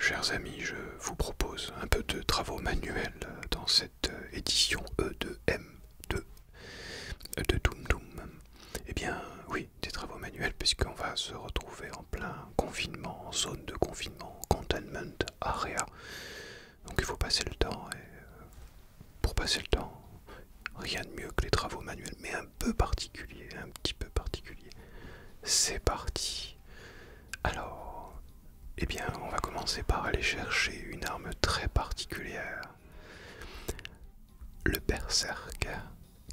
Chers amis, je vous propose un peu de travaux manuels dans cette édition E2M2 e de Doom Doom. Eh bien, oui, des travaux manuels, puisqu'on va se retrouver en plein confinement, en zone de confinement, containment area. Donc il faut passer le temps, et euh, pour passer le temps, rien de mieux que les travaux manuels, mais un peu particulier, un petit peu particulier. C'est parti. Alors, eh bien, on va commencer par aller chercher une arme très particulière. Le berserk,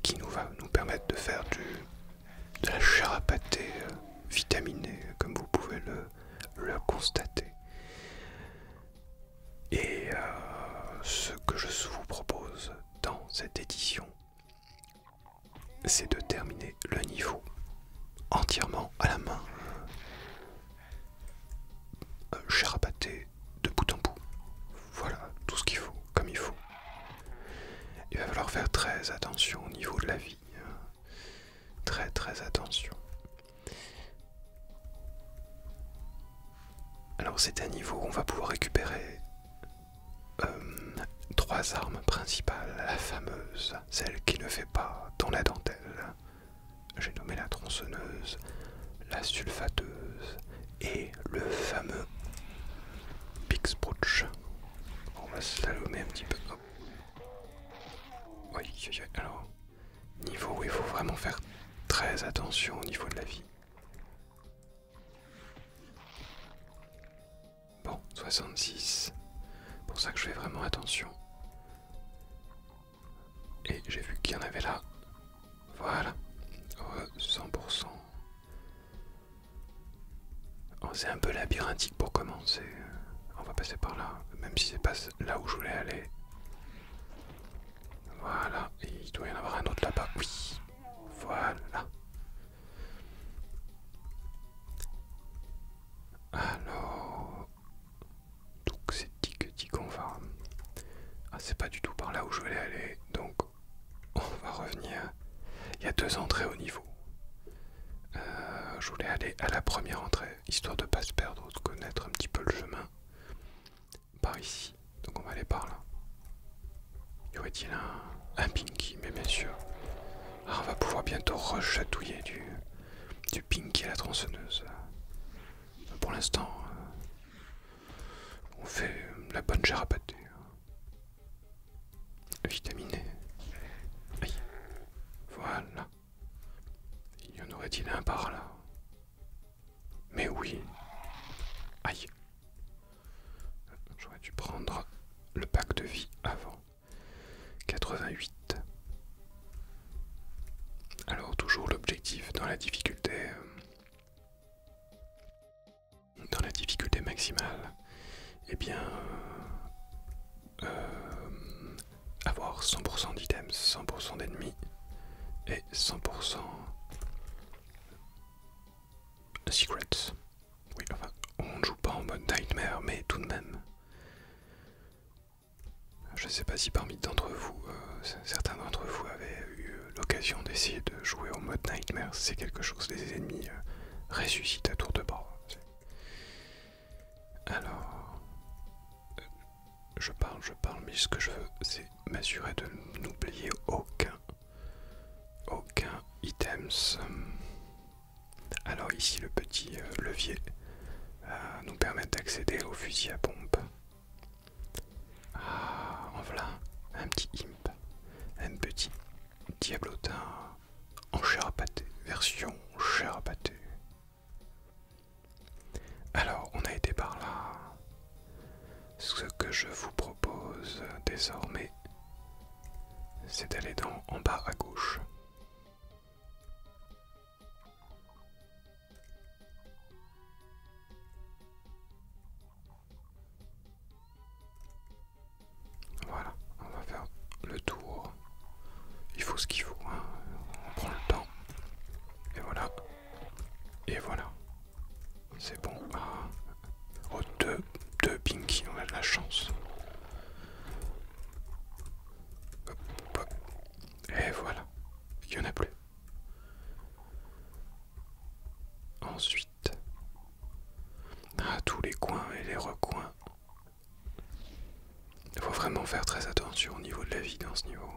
qui nous va nous permettre de faire du, de la chair euh, vitaminée, comme vous pouvez le, le constater. Et euh, ce que je vous propose dans cette édition, c'est de terminer le niveau entièrement à la main, euh, de bout en bout. Voilà, tout ce qu'il faut, comme il faut. Il va falloir faire très attention au niveau de la vie. Hein. Très très attention. Alors c'est un niveau où on va pouvoir récupérer euh, trois armes principales. La fameuse, celle qui ne fait pas dans la dentelle. J'ai nommé la tronçonneuse, la sulfateuse et le fameux Big On va se slalomer un petit peu. Oui, alors, niveau où il faut vraiment faire très attention au niveau de la vie. Bon, 66. Pour ça que je fais vraiment attention. Et j'ai vu qu'il y en avait là. Voilà. 100%. on c'est un peu labyrinthique pour commencer. On va passer par là, même si c'est pas là où je voulais aller. Voilà, il doit y en avoir un autre là-bas. Oui, voilà. Alors, donc c'est tic tic qu'on va. Ah, c'est pas du tout par là où je voulais aller, donc on va revenir. Il y a deux entrées au niveau. Euh, je voulais aller à la première entrée, histoire de pas se perdre, de connaître un petit peu le chemin par ici. Donc on va aller par là. Y aurait-il un, pinky Mais bien sûr. Ah, on va pouvoir bientôt rechatouiller du, du pinky à la tronçonneuse. Pour l'instant, euh, on fait la bonne charapatée. Hein. Vitaminé. E. Voilà. Il y en aurait-il un par là mais oui. Aïe. J'aurais dû prendre le pack de vie avant. 88. Alors toujours l'objectif dans la difficulté euh, dans la difficulté maximale. et eh bien euh, euh, avoir 100% d'items, 100% d'ennemis et 100% 100% Secrets. Oui, enfin, on ne joue pas en mode Nightmare, mais tout de même. Je ne sais pas si parmi d'entre vous, euh, certains d'entre vous avaient eu euh, l'occasion d'essayer de jouer au mode Nightmare, c'est quelque chose, les ennemis euh, ressuscitent à tour de bord. Alors, je parle, je parle, mais ce que je veux, c'est m'assurer de n'oublier aucun, aucun items. Alors ici, le petit euh, levier euh, nous permet d'accéder au fusil à pompe. Ah, en voilà un petit imp, un petit diablotin en chair à pâté, version chair à pâté. Alors, on a été par là. Ce que je vous propose désormais, c'est d'aller en bas à gauche. Voilà, on va faire le tour. Il faut ce qu'il faut, hein. on prend le temps. Et voilà, et voilà. C'est bon. Ah. Oh, deux, deux Pinky, on a de la chance. Et voilà. Il n'y en a plus. Ensuite. à ah, tous les coins et les recoins. Il faut vraiment faire très attention au niveau de la vie dans ce niveau.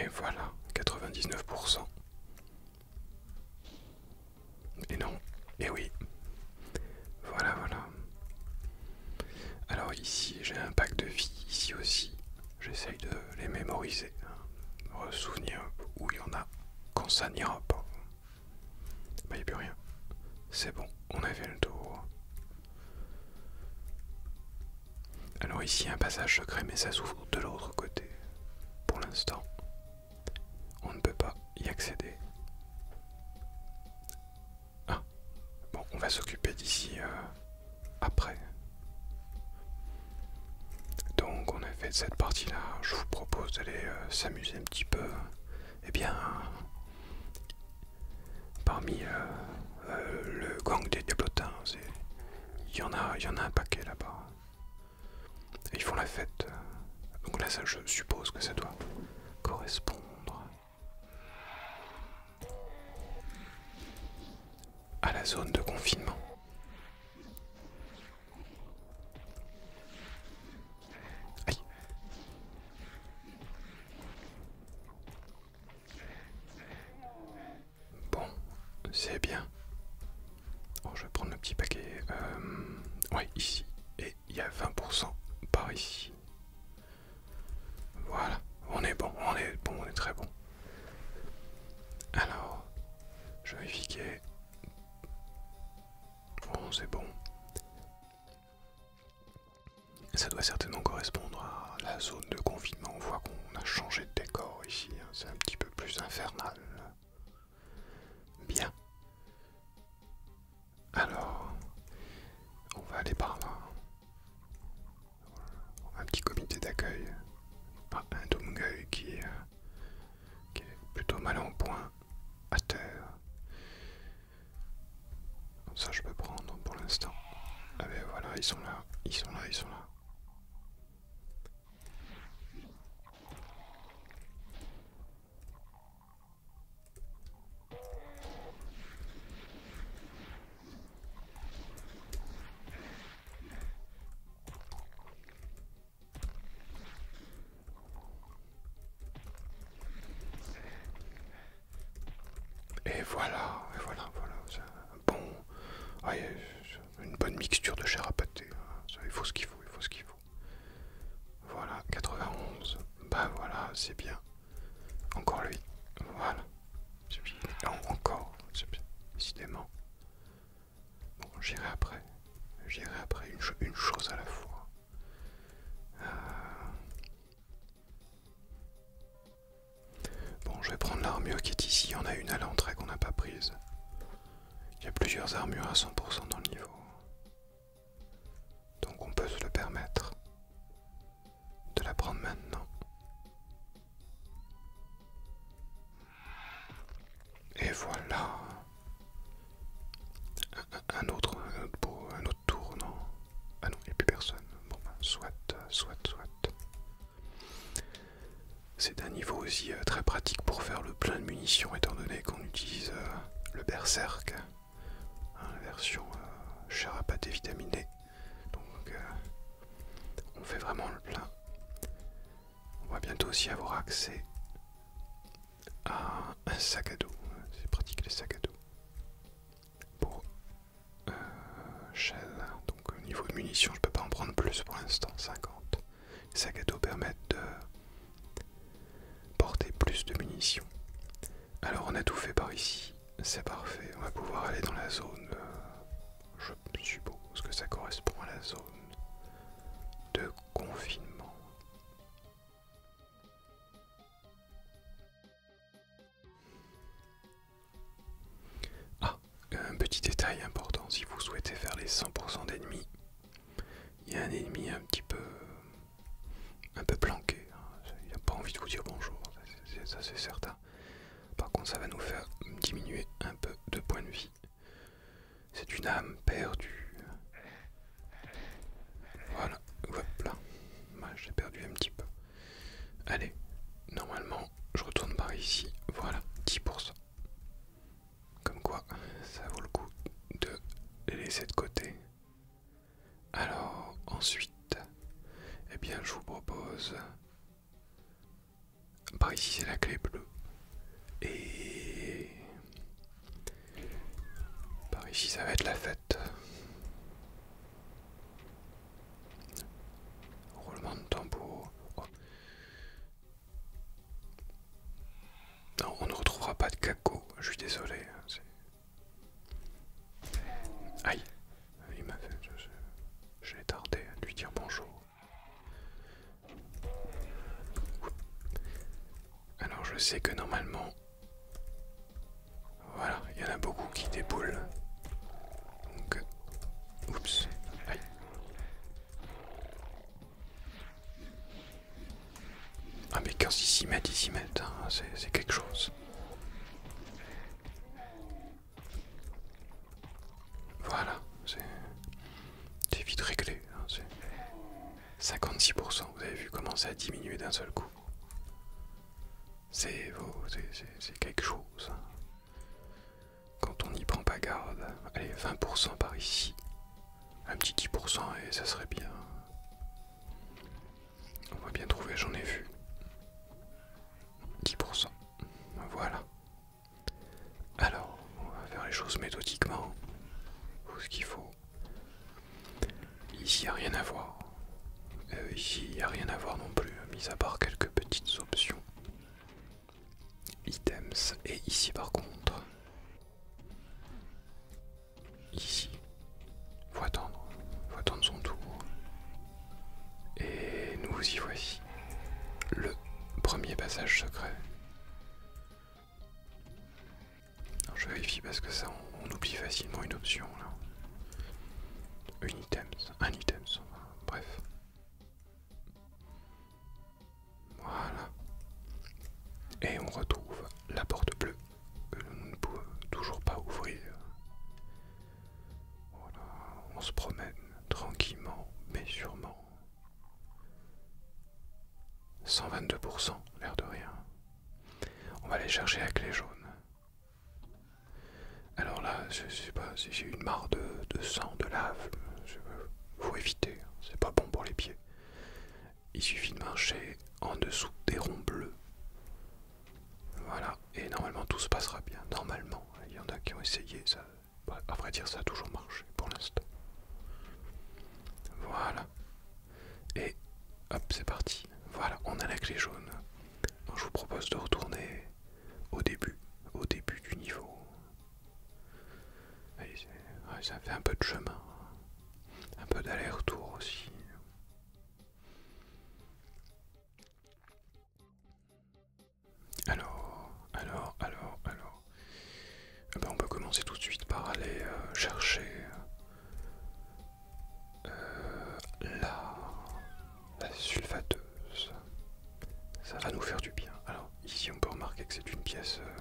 Et voilà, 99%. Et non, et oui. Voilà, voilà. Alors ici, j'ai un pack de vie, ici aussi. J'essaye de les mémoriser, se hein. souvenir où il y en a. Quand ça n'ira pas, il n'y a plus rien. C'est bon, on avait le tour. Alors ici un passage secret mais ça s'ouvre de l'autre côté. Pour l'instant, on ne peut pas y accéder. Ah, bon, on va s'occuper d'ici euh, après. Donc on a fait cette partie-là. Je vous propose d'aller euh, s'amuser un petit peu. Eh bien, parmi euh, euh, le gang des Diablotins, il y en a, il y a un paquet là-bas. Ils font la fête. Donc là, ça, je suppose que ça doit correspondre. à la zone de confinement. Bon, c'est bien. Oh, je vais prendre le petit paquet. Euh, oui, ici. Et il y a 20% par ici. Voilà, on est bon, on est bon, on est très bon. Alors, je vais vérifier. Bon, oh, c'est bon. Ça doit certainement correspondre à la zone de confinement. On voit qu'on a changé de décor ici. Hein. C'est un petit peu plus infernal. Bien. Alors, on va aller par là. Un petit comité d'accueil. un domgueu qui est qui est plutôt mal en point à terre. Ça je peux prendre pour l'instant. Ah ben voilà, ils sont là, ils sont là, ils sont là. Et voilà, voilà, voilà, bon, ah, une bonne mixture de chair à pâté. Hein. il faut ce qu'il faut, il faut ce qu'il faut. Voilà, 91. Bah ben voilà, c'est bien. Encore lui. Voilà. encore, c'est bien. Décidément. Bon, j'irai après. J'irai après, une, chose à la fois. Euh. Bon, je vais prendre l'armure qui est ici. On a une à l'entrée qu'on n'a pas prise. Il y a plusieurs armures à 100% dans le niveau. Donc on peut se le permettre de la prendre maintenant. Et voilà. Un, autre, un autre tour, non Ah non, il n'y a plus personne. Bon, soit, soit, soit. C'est un niveau aussi euh, très pratique pour faire le plein de munitions, étant donné qu'on utilise euh, le berserk, hein, la version euh, chair à Donc, euh, on fait vraiment le plein. On va bientôt aussi avoir accès à un sac à dos. C'est pratique les sacs à dos. Pour euh, Shell, donc au niveau de munitions, je peux pas en prendre plus pour l'instant, 50. Les sacs à dos permettent de porter plus de munitions. Alors on a tout fait par ici, c'est parfait. On va pouvoir aller dans la zone, euh, je suppose que ça correspond à la zone de confinement. Ah, un petit détail important, si vous souhaitez faire les 100% d'ennemis, il y a un ennemi un petit peu... un peu planqué, hein. il n'a pas envie de vous dire bonjour, ça c'est certain. Par contre ça va nous faire diminuer un peu de points de vie. C'est une âme perdue. Voilà, hop là. Bah, j'ai perdu un petit peu. Allez, normalement, je retourne par ici. Voilà, 10%. Comme quoi, ça vaut le coup de les laisser de côté. Alors, ensuite, eh bien, je vous propose par ici c'est la clé bleue. Et par ici ça va être la fête. Roulement de tambour. Oh. Non, on ne retrouvera pas de caco, je suis désolé. Hein, Aïe, il m'a fait. J'ai tardé à lui dire bonjour. Alors je sais que normalement... Voilà, il y en a beaucoup qui déboulent. Donc... Oups. Aïe. Ah mais quand ils s'y mettent, ils s'y mettent, c'est quelque chose. Voilà, c'est vite réglé. Hein, 56%, vous avez vu comment ça a diminué d'un seul coup. C'est quelque chose. Hein. Quand on n'y prend pas garde, allez, 20% par ici. Un petit 10% et ça serait bien. On va bien trouver, j'en ai vu. 10%. Voilà. Alors, on va faire les choses méthodiquement, faut ce qu'il faut. Ici, il n'y a rien à voir. Euh, ici, il n'y a rien à voir non plus, mis à part quelques petites options. Items, et ici par contre. Ici, faut attendre, faut attendre son tour. Et nous y voici. Le premier passage secret. je vérifie parce que ça, on, oublie facilement une option là. un item, bref. Voilà. Et on retrouve la porte bleue que nous ne pouvons toujours pas ouvrir. Voilà, on se promène tranquillement mais sûrement. 122%, l'air de rien. On va aller chercher avec les jaunes. Alors là, je sais pas si j'ai une mare de, sang, de lave. Je, faut éviter, hein, c'est pas bon pour les pieds. Il suffit de marcher en dessous des ronds bleus. Voilà, et normalement tout se passera bien. Normalement, il y en a qui ont essayé, ça, bah, à vrai dire, ça a toujours marché pour l'instant. Voilà. Et hop, c'est parti. Voilà, on a la clé jaune. je vous propose de retourner au début, au début du niveau. ça fait un peu de chemin, un peu d'aller-retour aussi. Alors, alors, alors, alors. Eh ben, on peut commencer tout de suite par aller euh, chercher euh, la, sulfateuse. Ça va nous faire du bien. Alors, ici, on peut remarquer que c'est une pièce, euh,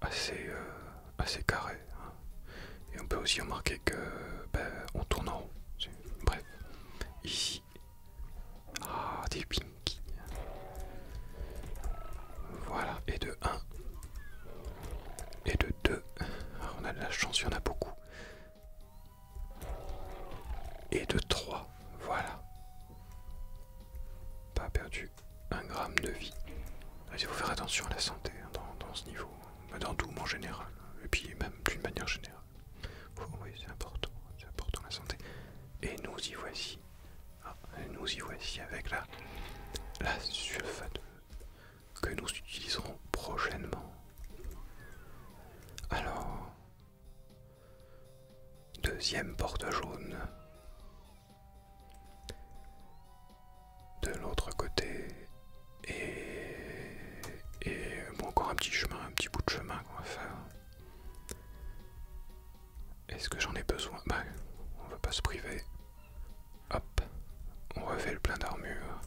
ma assez, carrée. Hein. Et on peut aussi remarquer que ben, tourne en haut, Bref, Ici. Ah, des pinkies Voilà, et de 1. Et de 2. on a de la chance, il y en a beaucoup. Et de 3. Voilà. Pas perdu un gramme de vie. Il faut faire attention à la santé hein, dans, ce niveau, dans tout en général, et puis même d'une manière générale oui, c'est important, c'est important la santé. Et nous y voici. Ah, nous y voici avec la, la que nous utiliserons prochainement. Alors, deuxième porte jaune. De l'autre côté, et, bon, encore un petit chemin, un petit bout de chemin qu'on va faire. Est-ce que j'en ai besoin Bah, on va pas se priver. Hop, on refait le plein d'armure.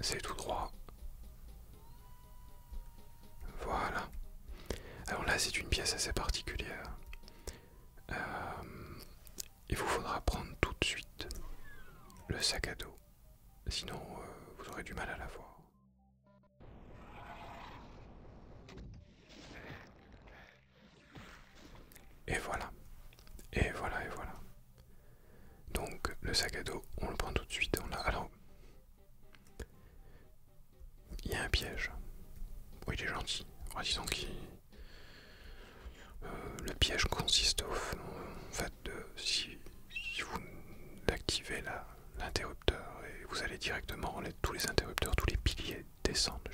C'est tout droit. Voilà. Alors là, c'est une pièce assez particulière. Euh, il vous faudra prendre tout de suite le sac à dos, sinon euh, vous aurez du mal à la l'avoir. Et voilà, et voilà, et voilà. Donc le sac à dos, on le prend tout de suite. On Alors, il y a un piège. Oui, il est gentil. En qu'il euh, le piège consiste au en fait, de, si, vous activez l'interrupteur et vous allez directement, tous les interrupteurs, tous les piliers descendent.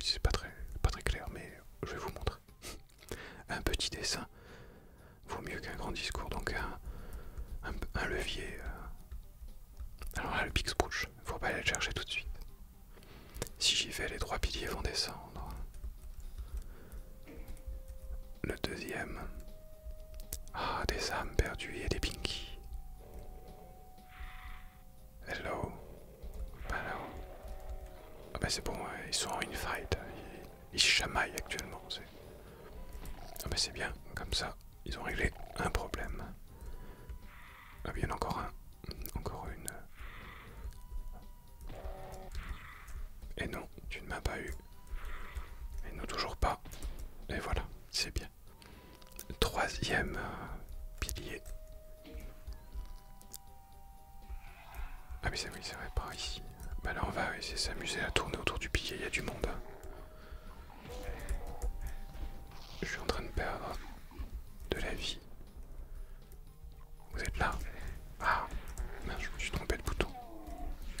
C'est pas très, pas très clair, mais je vais vous montrer. Un petit dessin vaut mieux qu'un grand discours, donc un, levier. Euh, alors là, le il ne faut pas aller le chercher tout de suite. Si j'y vais, les trois piliers vont descendre. Le deuxième. Ah, des âmes perdues et des pinkies. Hello. Hello. Ah bah c'est bon, hein, ils sont en une fight. Hein. Ils, se chamaillent actuellement. Ah bah c'est bien, comme ça, ils ont réglé un problème. Ah, bah, il y a encore un. Encore une. Et non, tu ne m'as pas eu. Et non, toujours pas. Et voilà, c'est bien. Troisième euh, pilier. Ah mais c'est oui, c'est vrai, par ici. Bah là on va essayer de s'amuser à tourner autour du pilier, il y a du monde. Je suis en train de perdre de la vie. Vous êtes là Ah, je me suis trompé de bouton.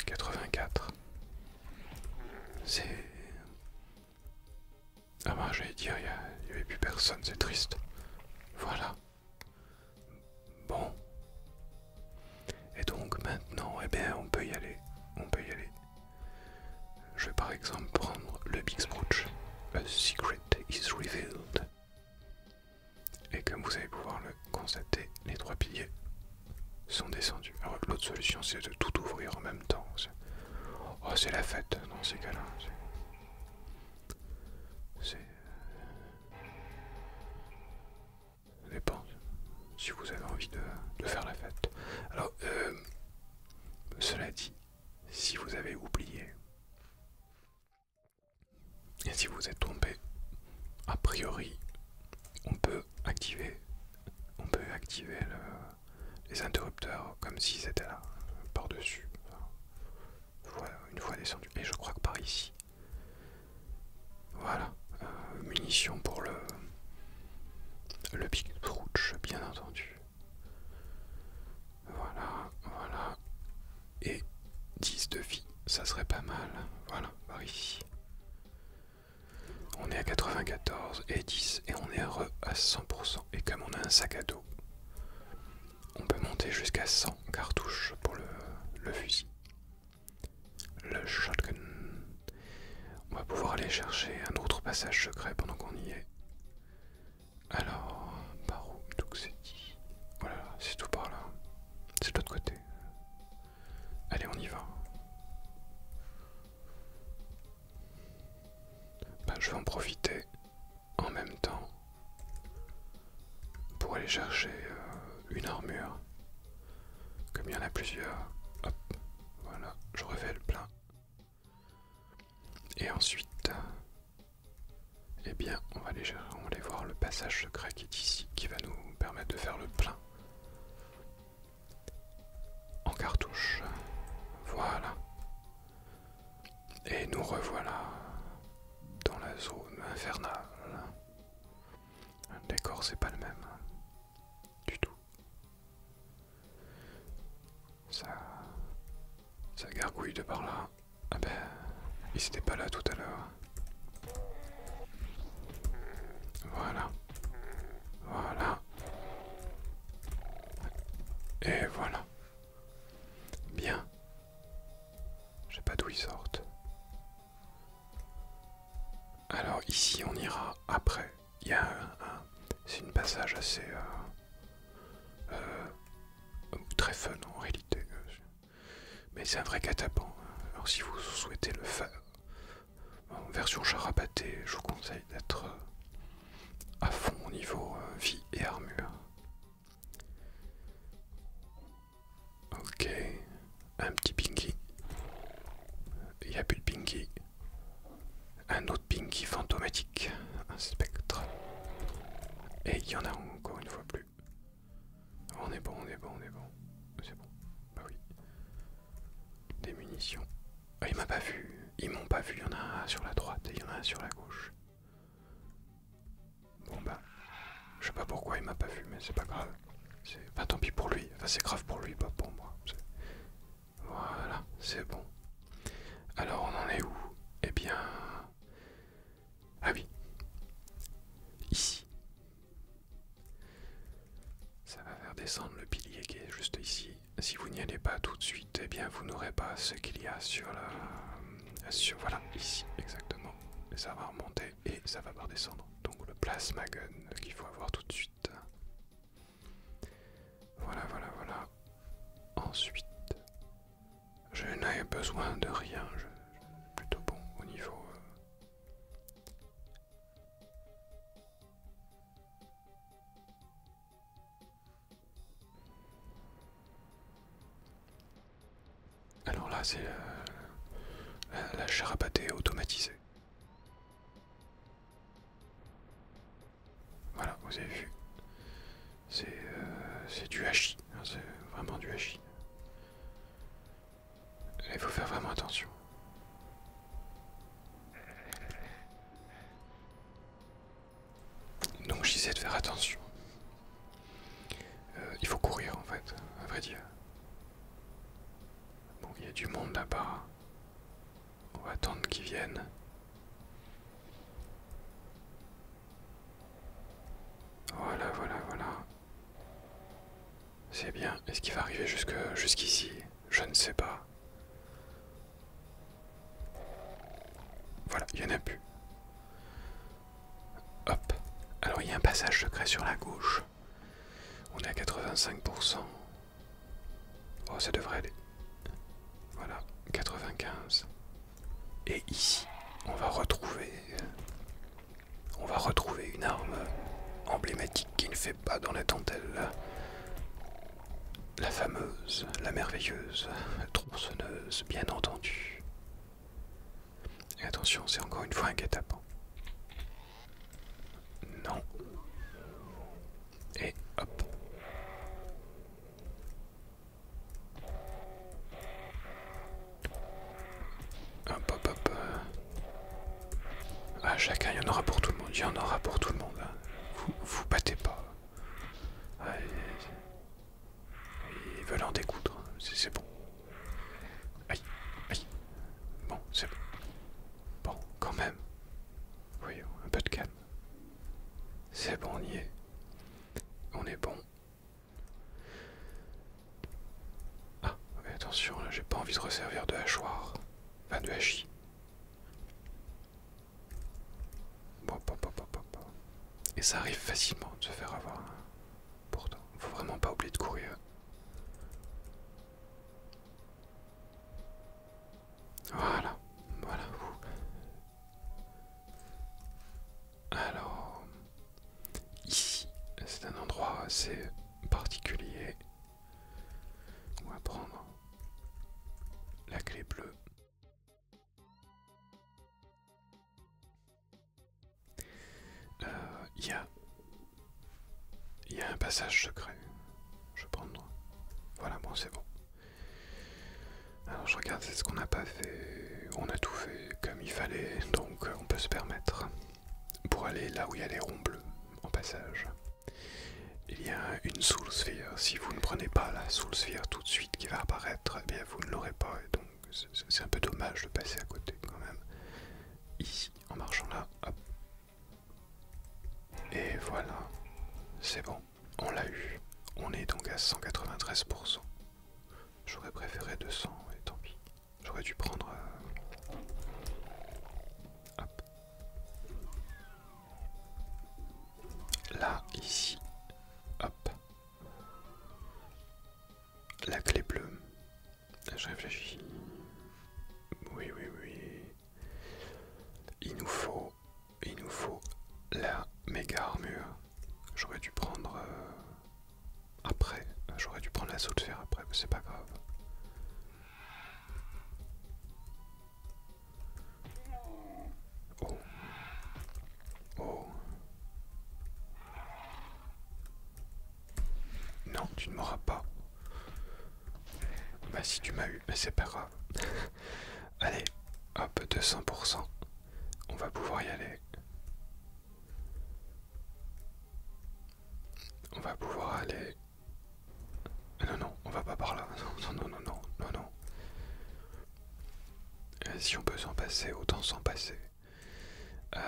84. C'est... Ah bah j'allais dire, il n'y avait plus personne, c'est triste. Voilà. Bon. Et donc maintenant, eh bien, on peut y aller. On peut y aller. Je vais par exemple prendre le Big A secret is revealed. Et comme vous allez pouvoir le constater, les trois piliers sont descendus. Alors l'autre solution c'est de tout ouvrir en même temps. Oh c'est la fête dans ces cas-là. C'est... Ça dépend si vous avez envie de, faire la fête. Alors, euh, cela dit, si vous avez oublié et si vous êtes tombé, a priori, on peut activer, on peut activer les interrupteurs comme s'ils étaient là, par-dessus. Voilà, une fois descendu. Et je crois que par ici. Voilà. Euh, munitions pour le. Le Big brooch, bien entendu. Voilà, voilà. Et 10 de vie, ça serait pas mal. Voilà, par ici. On est à 94 et 10 et on est heureux à 100%. Et comme on a un sac à dos, on peut monter jusqu'à 100 cartouches pour le, le fusil. Le shotgun. On va pouvoir aller chercher un autre passage secret pendant qu'on y est. Alors, par où c'est dit. Voilà, oh c'est tout par là. C'est de l'autre côté. Allez, on y va. Ben, je vais en profiter en même temps pour aller chercher euh, une armure. Comme il y en a plusieurs. Hop, voilà, je révèle plein. Et ensuite, euh, eh bien, on va, aller, on va voir le passage secret qui est ici, qui va nous permettre de faire le plein. En cartouche. Voilà. Et nous revoilà dans la zone infernale. Le décor, c'est pas le même. Hein, du tout. Ça, ça gargouille de par là. Ah ben, ils s'était pas là tout à l'heure. Voilà. Voilà. Et voilà. Bien. Je sais pas d'où ils sortent. Alors ici on ira après. Il y a un, c'est une passage assez euh, euh, euh, très fun en réalité. Euh, mais c'est un vrai catapan. Alors si vous souhaitez le faire en version charabatée, je vous conseille d'être à fond au niveau vie et armure. Ok, un petit pinky. Il n'y a plus de pinky. Un autre pinky fantomatique, un spectre. Et il y en a encore une fois plus. On est bon, on est bon, on est bon. C'est bon. Bah oui. Des munitions. Ah, il m'a pas vu. Ils m'ont pas vu. Il y en a un sur la droite et il y en a un sur la gauche. Bon bah. Je sais pas pourquoi il m'a pas vu, mais c'est pas grave. C'est. Enfin tant pis pour lui. Enfin c'est grave pour lui, pas pour moi. Voilà, c'est bon. Alors on en est où Eh bien. Ah oui. Ici. Ça va faire descendre le pilier qui est juste ici. Si vous n'y allez pas tout de suite, eh bien vous n'aurez pas ce qu'il y a sur la... Sur, voilà, ici, exactement. Ça va remonter et ça va redescendre, Donc le plasma gun qu'il faut avoir tout de suite. Voilà, voilà, voilà. Ensuite, je n'ai besoin de rien, je, suis plutôt bon au niveau... Euh, Alors là, c'est euh, la, la charabatée automatisée. Voilà, vous avez vu. C'est euh, du hachis, hein, c'est vraiment du hachis. Il faut faire vraiment attention. Donc j'essaie de faire attention. Euh, il faut courir en fait, à vrai dire. Bon, il y a du monde là-bas. On va attendre qu'ils viennent. Voilà, voilà, voilà. C'est bien. Est-ce qu'il va arriver jusque jusqu'ici Je ne sais pas. Voilà, il y en a plus. Hop. Alors il y a un passage secret sur la gauche. On est à 85%. Oh, ça devrait aller. Voilà, 95. Et ici, on va retrouver, on va retrouver une arme emblématique qui ne fait pas dans la dentelle. La fameuse, la merveilleuse tronçonneuse, bien entendu. Et attention, c'est encore une fois un guet Non. Et hop. Hop, hop, hop. Ah, chacun, il y en aura pour tout le monde. Il y en aura pour tout le monde. Hein. Vous vous battez pas. ils, veulent en découdre. Hein. C'est bon. Aïe, aïe. Bon, c'est bon. Bon, quand même. Voyons, un peu de calme. C'est bon, on y est. On est bon. Ah, mais attention, là j'ai pas envie de resservir de hachoir. Enfin, de hachis. Et ça arrive facilement de se faire avoir. Hein. Pourtant, faut vraiment pas oublier de courir. Voilà, voilà. Alors, ici, c'est un endroit assez particulier. On va prendre la clé bleue. Euh, il y, a, un passage secret. Je vais prendre, Voilà, bon, c'est bon. Alors je regarde, c'est ce qu'on n'a pas fait. On a tout fait comme il fallait, donc euh, on peut se permettre. Pour aller là où il y a les ronds bleus, en passage. Il y a une Soul Sphere. Si vous ne prenez pas la Soul Sphere tout de suite qui va apparaître, eh bien vous ne l'aurez pas. donc c'est un peu dommage de passer à côté quand même. Ici, en marchant là, Et voilà, c'est bon on l'a eu. On est donc à 193%. J'aurais préféré 200, et tant pis. J'aurais dû prendre... Euh, hop. Là, ici. Hop. La clé bleue. Je réfléchis. Oui, oui, oui. Il nous faut il nous faut la méga armure. J'aurais dû prendre euh, après. J'aurais dû prendre l'assaut de fer après, mais c'est pas grave. Oh. Oh. Non, tu ne m'auras pas. Bah si tu m'as eu, mais c'est pas grave. Allez, hop, 200%. On va pouvoir y aller. On va pouvoir aller... Ah non, non, on va pas par là. Non, non, non, non, non, non. Euh, si on peut s'en passer, autant s'en passer. Euh,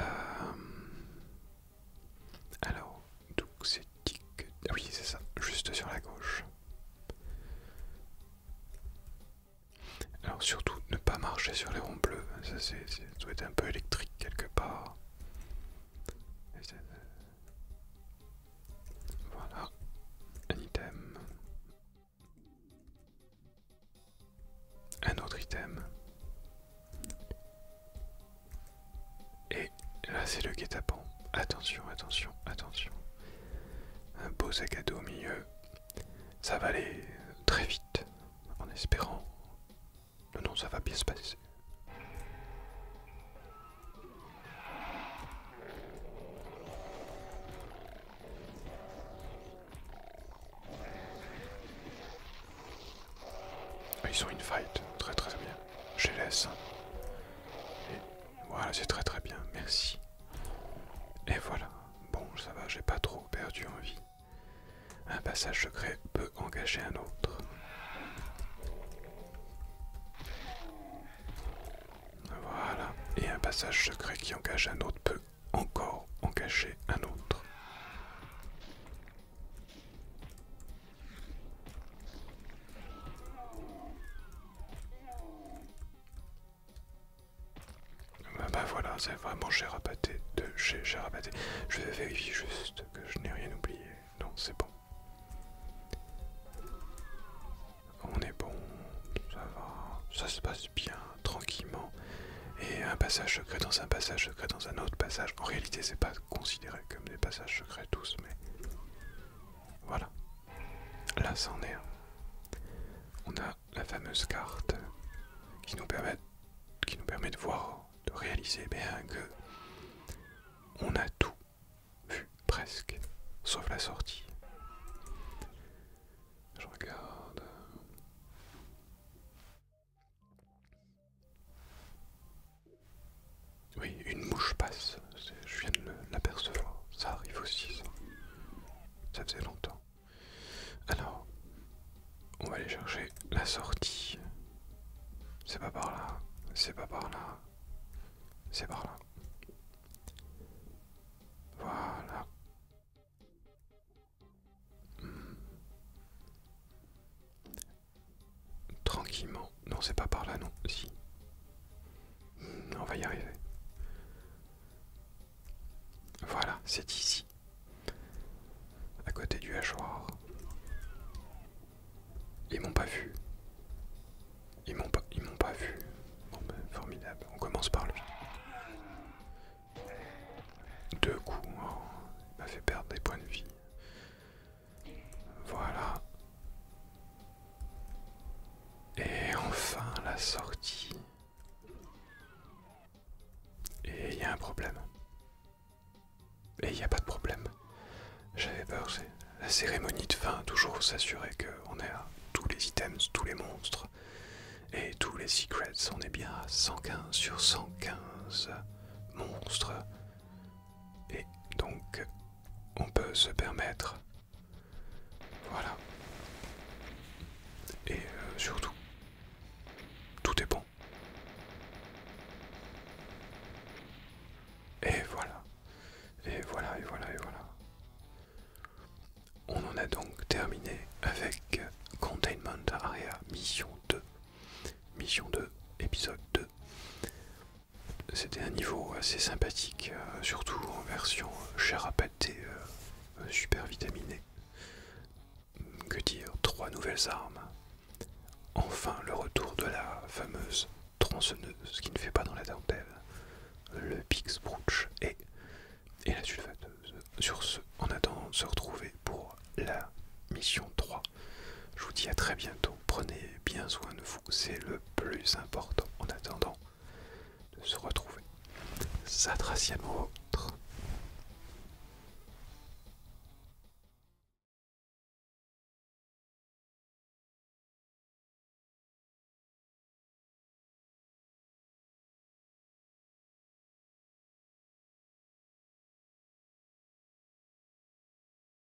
alors, donc c'est tic... Ah oui, c'est ça, juste sur la gauche. Alors surtout ne pas marcher sur les ronds bleus, ça, c'est doit être un peu électrique quelque part. Euh, voilà, un item. Un autre item. Et là ah, c'est le guet-apens. Attention, attention, attention. Un beau sac à dos au milieu. Ça va aller très vite, en espérant. Non, non, ça va bien se passer. Ah, ils sont in fight, très très bien. Je les laisse. Et voilà, c'est très très bien, merci. Et voilà, bon, ça va, j'ai pas trop perdu envie. Un passage secret peut engager un autre. Voilà, et un passage secret qui engage un autre peut encore engager un autre. Bah, bah, voilà, c'est vraiment Cherapaté de chez Je vais vérifier juste que je n'ai rien oublié. Non, c'est bon. On est bon, ça va, ça se passe bien, tranquillement. Et un passage secret dans un passage secret dans un autre passage. En réalité, c'est pas considéré comme des passages secrets tous, mais voilà. Là, c'en est. On a la fameuse carte qui nous permet, qui nous permet de voir, de réaliser bien que on a tout vu presque, sauf la sortie. Je regarde. Oui, une mouche passe, je viens de l'apercevoir, ça arrive aussi ça. Ça faisait longtemps. Alors, on va aller chercher la sortie. C'est pas par là, c'est pas par là, c'est par là. Voilà. Hmm tranquillement. Non, c'est pas par là, non. Si. On va y arriver. Voilà, c'est ici. À côté du hachoir. Ils m'ont pas vu. Ils m'ont pas, ils m'ont pas vu. Ben, formidable. On commence par lui. Deux coups. il hein. m'a fait perdre des points de vie. Voilà. Et enfin la sortie. Et il y a un problème. Et il n'y a pas de problème. J'avais peur, la cérémonie de fin, toujours s'assurer qu'on est à tous les items, tous les monstres et tous les secrets. On est bien à 115 sur 115 monstres. Et donc on peut se permettre. Voilà. Et euh, surtout, tout est bon. Et voilà. Et voilà, et voilà, et voilà. On en a donc terminé avec Containment Area Mission 2. Mission 2, épisode 2. C'était un niveau assez sympathique, euh, surtout en version euh, cher à pâté euh, super vitaminée. Que dire, trois nouvelles armes. Enfin le retour de la fameuse tronçonneuse qui ne fait pas dans la dentelle, le Pix et, et la sulfateuse. Sur ce, en attendant de se retrouver pour la mission 3 je vous dis à très bientôt. Prenez bien soin de vous, c'est le plus important en attendant de se retrouver. Satracialement autre.